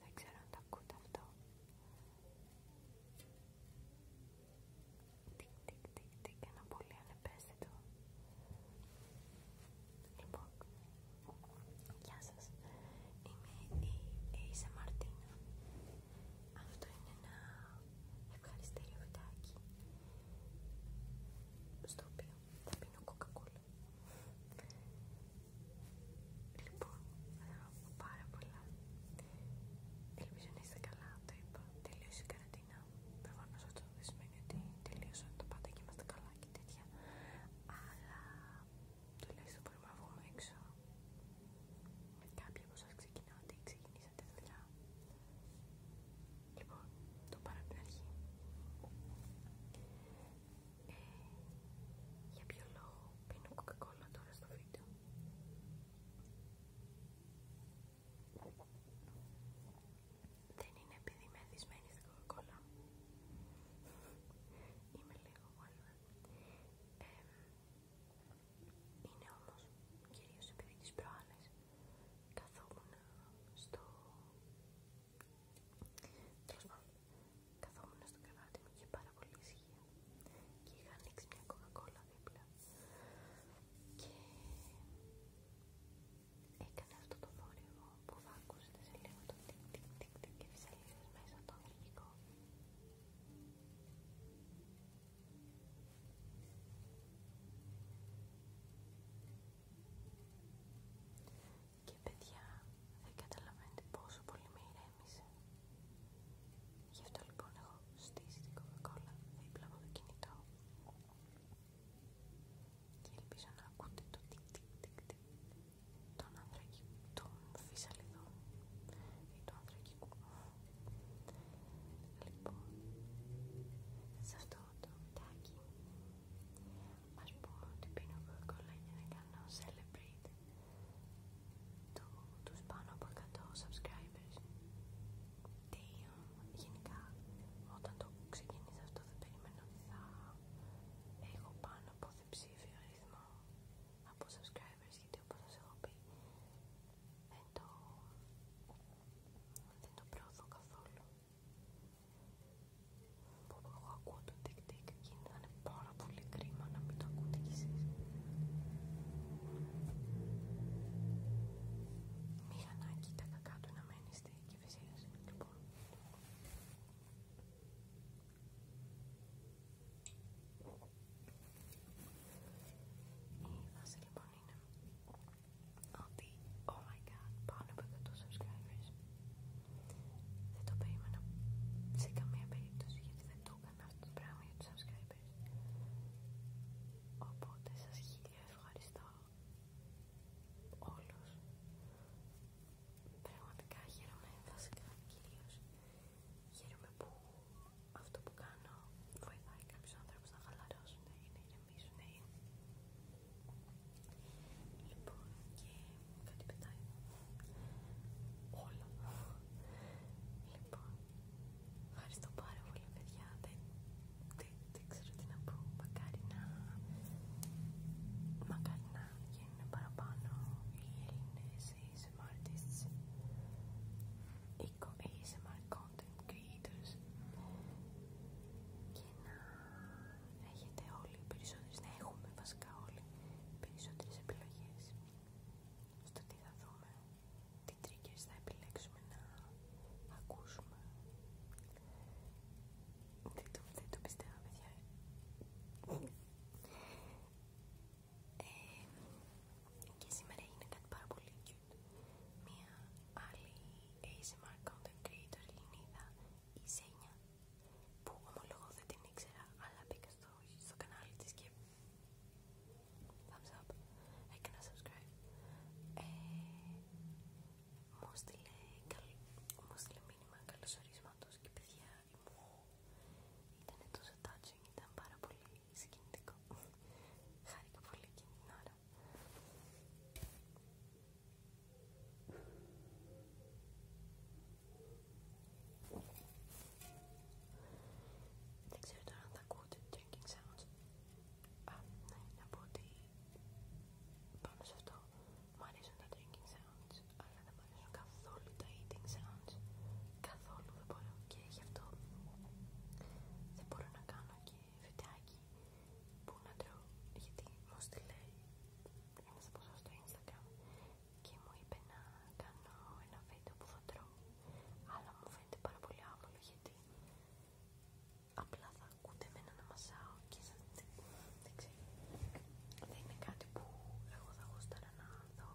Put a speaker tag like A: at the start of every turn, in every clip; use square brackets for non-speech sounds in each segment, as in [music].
A: Δεν ξέρω αν το ακούτε αυτό. Τι, τι, τι, τικ, ένα πολύ ανεπαίσθητο. Λοιπόν, γεια σας. Είμαι η Έισα Μαρτίνα. Αυτό είναι ένα ευχαριστήριο βιντεάκι στο οποίο θα πίνω κοκακούλα. Λοιπόν, θέλω να πω πάρα πολλά. Ελπίζω να είστε καλά, το είπα. Τελείωσε η καραντίνα. Προφανώ αυτό δεν σημαίνει ότι τελείωσε τα πάντα και είμαστε καλά και τέτοια. Αλλά τουλάχιστον μπορούμε να βγούμε έξω με κάποιον από σας ξεκινάω ότι ξεκινήσατε δουλειά λοιπόν το πάρω από την ε, για ποιο λόγο πίνω κοκακόλα τώρα στο βίντεο δεν είναι επειδή είμαι εθισμένη στην κοκακόλα είμαι λίγο μάλλον ε, είναι όμως κυρίως επειδή τις προάλλες καθόμουν στο... Καθόμουν στο κρεβάτι μου και πάρα πολύ ισχύ και είχα ανοίξει μια κοκακόλα δίπλα και έκανε αυτό το θόρυβο που θα ακούσετε σε λίγο το τικ και τις μέσα από το αγγλικό. Και παιδιά, δεν καταλαβαίνετε πόσο πολύ με ηρέμησε. Γι' αυτό λοιπόν έχω στήσει την κοκακόλα δίπλα από το κινητό. Και ελπίζω να ακούτε το τικ τικ τικ τικ των ανθρακικών των φυσαλιδών ή του ανθρακικού. Λοιπόν, σε αυτό το μετάκι ας πω ότι πίνω κοκόλα για να κάνω celebrate το, τους πάνω από 100 subscribers. Τι, γενικά, όταν το ξεκινήσω αυτό δεν περιμένω ότι θα έχω πάνω από ψήφιο αριθμό από subscribers γιατί όπως σας έχω πει δεν το, προωθώ καθόλου ακούω το τικ τικ και είναι πάρα πολύ κρίμα να μην το ακούτε κι εσείς Μηχανάκι τα κακά του να μένει στη κυφυσία λοιπόν η φάση λοιπόν είναι ότι oh my god, πάνω από 100 subscribers δεν το περίμενα σε καμία περίπτωση γιατί δεν το έκανα αυτό το πράγμα για τους subscribers οπότε σας χίλια ευχαριστώ όλους πραγματικά χαίρομαι βασικά κυρίως Χαίρομαι που αυτό που κάνω βοηθάει κάποιους ανθρώπους να χαλαρώσουν ή να ηρεμήσουν Λοιπόν, και κάτι πετάει όλα Λοιπόν, ευχαριστώ πάρα πολύ παιδιά, δεν, ξέρω τι να πω, μακάρι να, μακάρι να γίνουν παραπάνω οι Έλληνες, ASM ASMR content creators και να έχετε όλοι περισσότερες, να έχουμε βασικά όλοι περισσότερες επιλογές στο τι θα δούμε, τι triggers θα επιλέξουμε να ακούσουμε. το, δεν το πιστεύω, παιδιά. Ε, και σήμερα έγινε κάτι πάρα πολύ cute. Μία άλλη ASMR content creator Ελληνίδα, η Σένια που ομολογώ δεν την ήξερα, αλλά μπήκα στο, κανάλι της και thumbs up, έκανα subscribe. Ε, μου στείλε μήνυμα καλωσορίσματος και παιδιά που ήταν τόσο touching, ήταν πάρα πολύ συγκινητικό. Χάρηκα πολύ εκείνη την ώρα. Δεν ξέρω τώρα αν θα ακούτε drinking sounds. Α, ναι, να πω ότι πάνω σε αυτό μου αρέσουν τα drinking sounds αλλά δεν μου καθόλου τα eating sounds. Καθόλου δεν μπορώ και γι' αυτό δεν μπορώ να κάνω και βιντεάκι που να τρώω. Γιατί μου στείλε ένα από στο Instagram και μου είπε να κάνω ένα βίντεο που θα τρώω. Αλλά μου φαίνεται πάρα πολύ άβολο γιατί απλά θα ακούτε εμένα να μασάω και δεν, ξέρω. Δεν είναι κάτι που εγώ θα γούσταρα να δω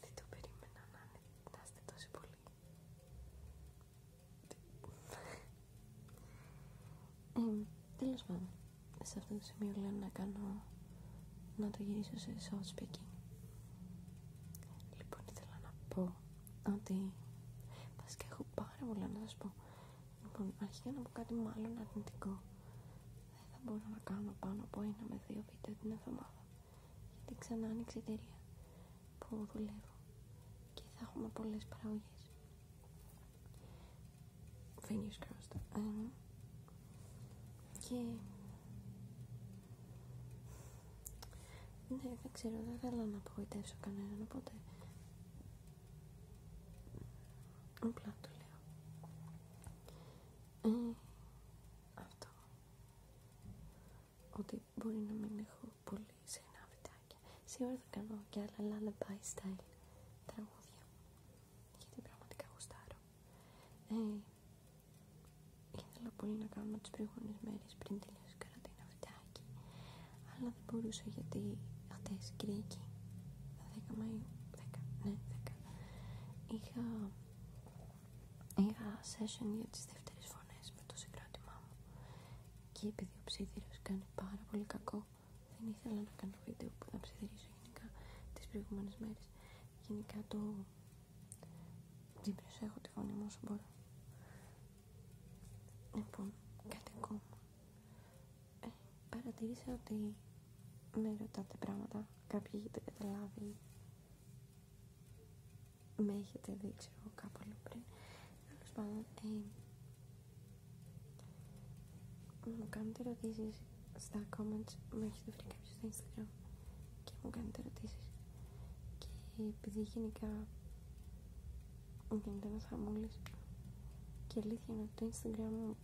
A: δεν το περίμενα να, να τόσο πολύ.
B: Τέλο ε, τέλος πάντων, σε αυτό το σημείο λέω να κάνω, να το γυρίσω σε soft speaking. Λοιπόν, ήθελα να πω ότι, και έχω πάρα πολλά να σας πω. Λοιπόν, αρχίζει να πω κάτι μάλλον αρνητικό. Δεν θα μπορώ να κάνω πάνω από ένα με δύο βίντεο την εβδομάδα γιατί ξανά άνοιξε εταιρεία που δουλεύω και θα έχουμε πολλές παραγωγές. Fingers crossed. Ε, ναι. και... Ναι, δεν ξέρω, δεν θέλω να απογοητεύσω κανέναν, οπότε... Απλά το λέω. Ε, αυτό ότι μπορεί να μην έχω πολύ συχνά βιντεάκια. Σήμερα θα κάνω και άλλα lullaby style τραγούδια, γιατί πραγματικά γουστάρω. Ε, ήθελα πολύ να κάνω τις προηγούμενες μέρες πριν τελειώσει η καραντίνα βιντεάκι, αλλά δεν μπορούσα γιατί χτες Κυριακή, 10 Μαΐου, 10, ναι 10, είχα Είχα session για τις δεύτερες φωνές με το συγκρότημά μου και επειδή ο ψιθύριος κάνει πάρα πολύ κακό δεν ήθελα να κάνω βίντεο που θα ψιθυρίσω γενικά τις προηγούμενες μέρες γενικά το την προσέχω τη φωνή μου όσο μπορώ λοιπόν κάτι ακόμα ε, παρατηρήσα ότι με ρωτάτε πράγματα κάποιοι έχετε καταλάβει με έχετε δει ξέρω κάπου λίγο πριν τέλος πάντων ε, μου κάνετε ερωτήσει στα comments μου έχετε βρει κάποιο στο instagram και μου κάνετε ερωτήσει και επειδή γενικά μου γίνεται ένας χαμούλης και αλήθεια είναι ότι το instagram μου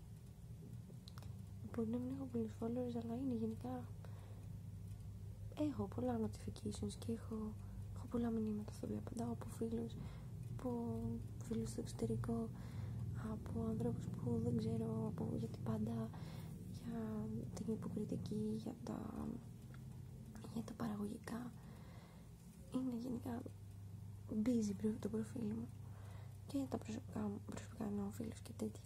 B: Μπορεί να μην έχω πολλούς followers, αλλά είναι γενικά. Έχω πολλά notifications και έχω, πολλά μηνύματα στα οποία απαντάω από φίλου, από φίλους στο εξωτερικό, από ανθρώπους που δεν ξέρω από, πάντα, για την υποκριτική, για τα, για τα παραγωγικά. Είναι γενικά busy το προφίλ μου και τα προσωπικά μου, προσωπικά φίλους και τέτοια.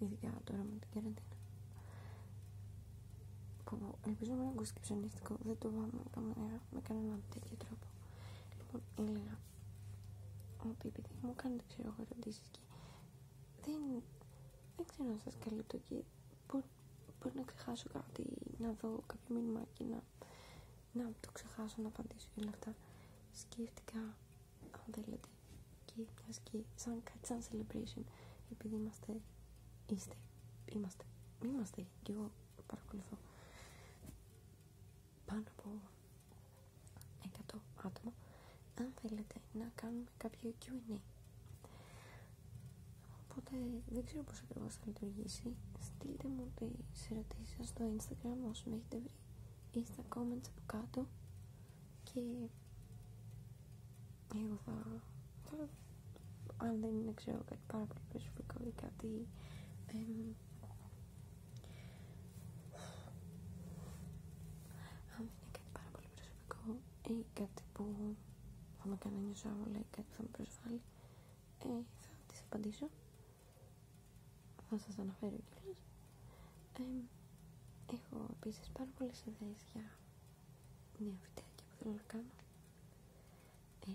B: Ειδικά τώρα με την καραντίνα. Που ελπίζω να μην ακούσει και δεν το πάμε καμία με κανέναν τέτοιο τρόπο. Λοιπόν, έλεγα ότι επειδή μου κάνετε ξέρω ερωτήσει και δεν, δεν ξέρω να σα καλύπτω και μπορεί, μπορεί, να ξεχάσω κάτι, να δω κάποιο μήνυμα και να, να το ξεχάσω, να απαντήσω και όλα αυτά. Σκέφτηκα αν θέλετε και μια και σαν, celebration επειδή είμαστε είστε, είμαστε, είμαστε και εγώ παρακολουθώ πάνω από 100 άτομα αν θέλετε να κάνουμε κάποιο Q&A οπότε δεν ξέρω πως ακριβώς θα λειτουργήσει στείλτε μου τις ερωτήσεις σας στο instagram όσο με έχετε βρει ή στα comments από κάτω και εγώ θα, αν δεν είναι ξέρω κάτι πάρα πολύ προσωπικό ή κάτι εμ, αν δεν είναι κάτι πάρα πολύ προσωπικό ή κάτι που θα με κάνει να νιώσω όλα ή κάτι που θα με προσβάλλει ε, θα τις απαντήσω θα σας αναφέρω κιόλας έχω επίση πάρα πολλέ ιδέε για νέα και που θέλω να κάνω.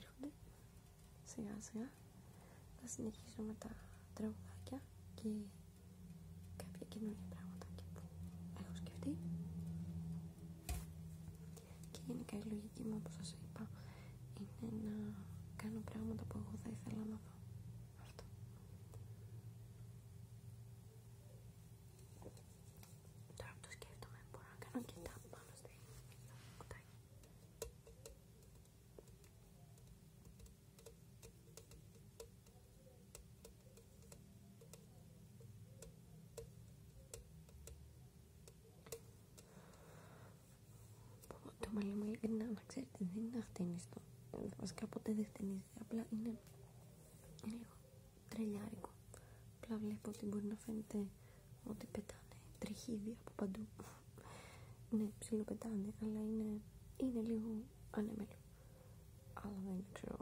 B: Έρχονται σιγά σιγά. Θα συνεχίσω με τα τραγουδάκια και κάποια καινούργια πράγματα που έχω σκεφτεί. Και γενικά η λογική μου, όπως σα είπα, είναι να κάνω πράγματα που εγώ θα ήθελα να δω. Αυτό.
A: Τώρα που το σκέφτομαι, μπορώ να κάνω και τα πάνω στο κουτάκι.
B: Το μαλλί μου ειλικρινά να ξέρετε δεν είναι αχτενιστό. Ε, βασικά ποτέ δεν χτενίζει απλά είναι λίγο τρελιάρικο. Απλά βλέπω ότι μπορεί να φαίνεται ότι πετάνε τριχίδια από παντού. ναι, ψιλοπετάνε, αλλά είναι, είναι λίγο ανέμελο. Αλλά δεν ξέρω.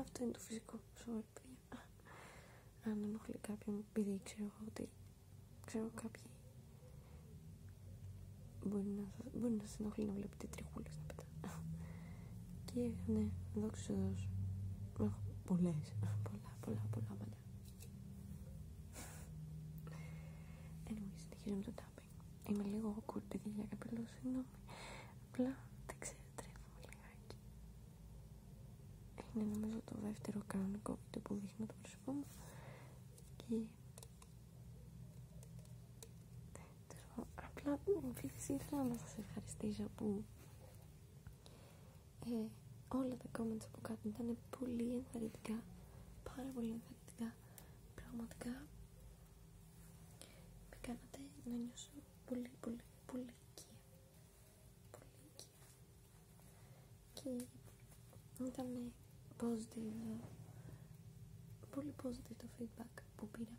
B: αυτό είναι το φυσικό. σώμα παιδιά. Αν ενοχλεί κάποιον, επειδή ξέρω ότι Ξέρω κάποιοι μπορεί να, σας, μπορεί να ενοχλεί να βλέπετε τριχούλες να πετάνε. Και ναι, δόξα τω Έχω πολλές, πολλά, πολλά, πολλά μαλλιά. Anyway, συνεχίζω με το tapping. Είμαι λίγο κουρτική για καπέλο, συγγνώμη. Απλά δεν ξέρω, τρέφομαι λιγάκι. Είναι νομίζω το δεύτερο κανονικό βίντεο που δείχνω το πρόσωπό μου. Και Απλά επίσης ήθελα να σας ευχαριστήσω που ε, όλα τα comments από κάτω ήταν πολύ ενθαρρυντικά, πάρα πολύ ενθαρρυντικά. Πραγματικά με κάνατε να νιώσω πολύ πολύ πολύ Πολύ οικία και ήταν πολύ positive το feedback που πήρα.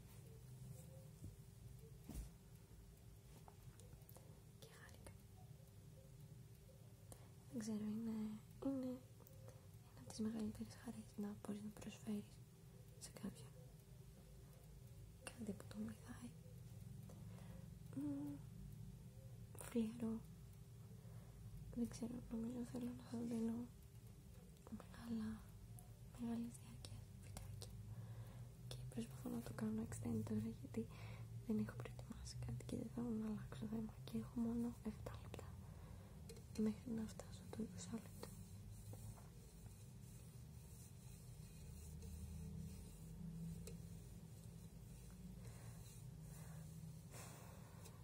B: Και χάρηκα. Δεν ξέρω, είναι, είναι ένα από τις μεγαλύτερες χαρές να μπορεί να προσφέρει σε κάποιον κάτι που τον βοηθάει. Φλιαρό δεν ξέρω, νομίζω θέλω να σας δίνω μεγάλα, μεγάλες και προσπαθώ να το κάνω extend γιατί δεν έχω προετοιμάσει κάτι και δεν θέλω να αλλάξω θέμα και έχω μόνο 7 λεπτά μέχρι να φτάσω το 20 λεπτό.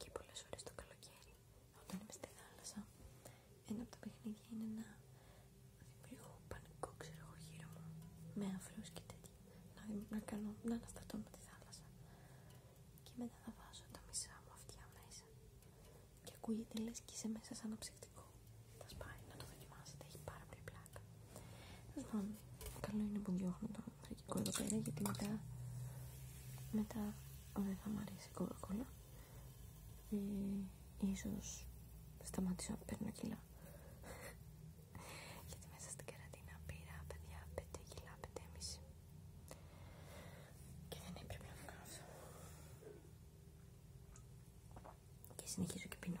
B: Και πολλές φορές το καλοκαίρι, όταν είμαι στη θάλασσα, ένα από τα παιχνίδια είναι να δημιουργώ πανικό, ξέρω γύρω μου, με αφρούς και τέτοια, να, αναστατώ τη θάλασσα. Και μετά θα βάζω τα μισά μου αυτιά μέσα και ακούγεται λες και είσαι μέσα σαν αψυκτικό.
A: Θα σπάει, να το δοκιμάσετε, έχει πάρα πολύ πλάκα.
B: Λοιπόν, καλό είναι που διώχνω και εδώ πέρα γιατί μετά, μετά δεν θα μου αρέσει η κοκακόλα και ε, ίσως σταματήσω να παίρνω κιλά
A: [laughs] γιατί μέσα στην καραντίνα πήρα παιδιά 5 κιλά, 5,5 και δεν έπρεπε να κάνω αυτό και συνεχίζω και πίνω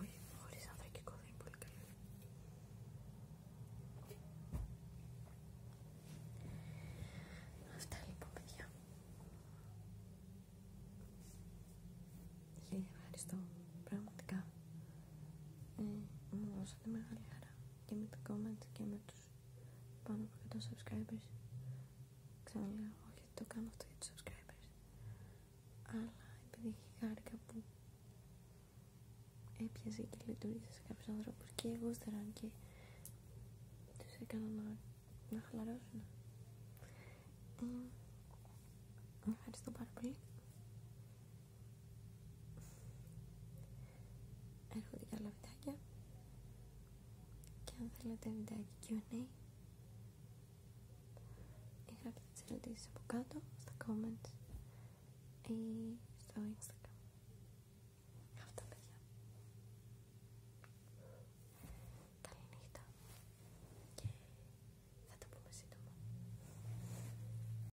A: Όχι, χωρίς ανθρακικό και είναι πολύ
B: Αυτά λοιπόν παιδιά. Χίλια ευχαριστώ. Πραγματικά. Ε, μου δώσατε μεγάλη χαρά και με τα comment και με τους πάνω από 100 subscribers ξαναλέω όχι γιατί το κάνω αυτό για τους subscribers αλλά επειδή έχει χάρηκα που έπιαζε και λειτουργήσε σε κάποιους ανθρώπους και εγώ στεραν και τους έκανα να, χαλαρώσουν ευχαριστώ πάρα πολύ έρχονται και άλλα βιντεάκια και αν θέλετε βιντεάκι Q&A ή γράψτε τις ερωτήσεις από κάτω στα comments ή στο instagram αυτά παιδιά καληνύχτα και θα τα πούμε σύντομα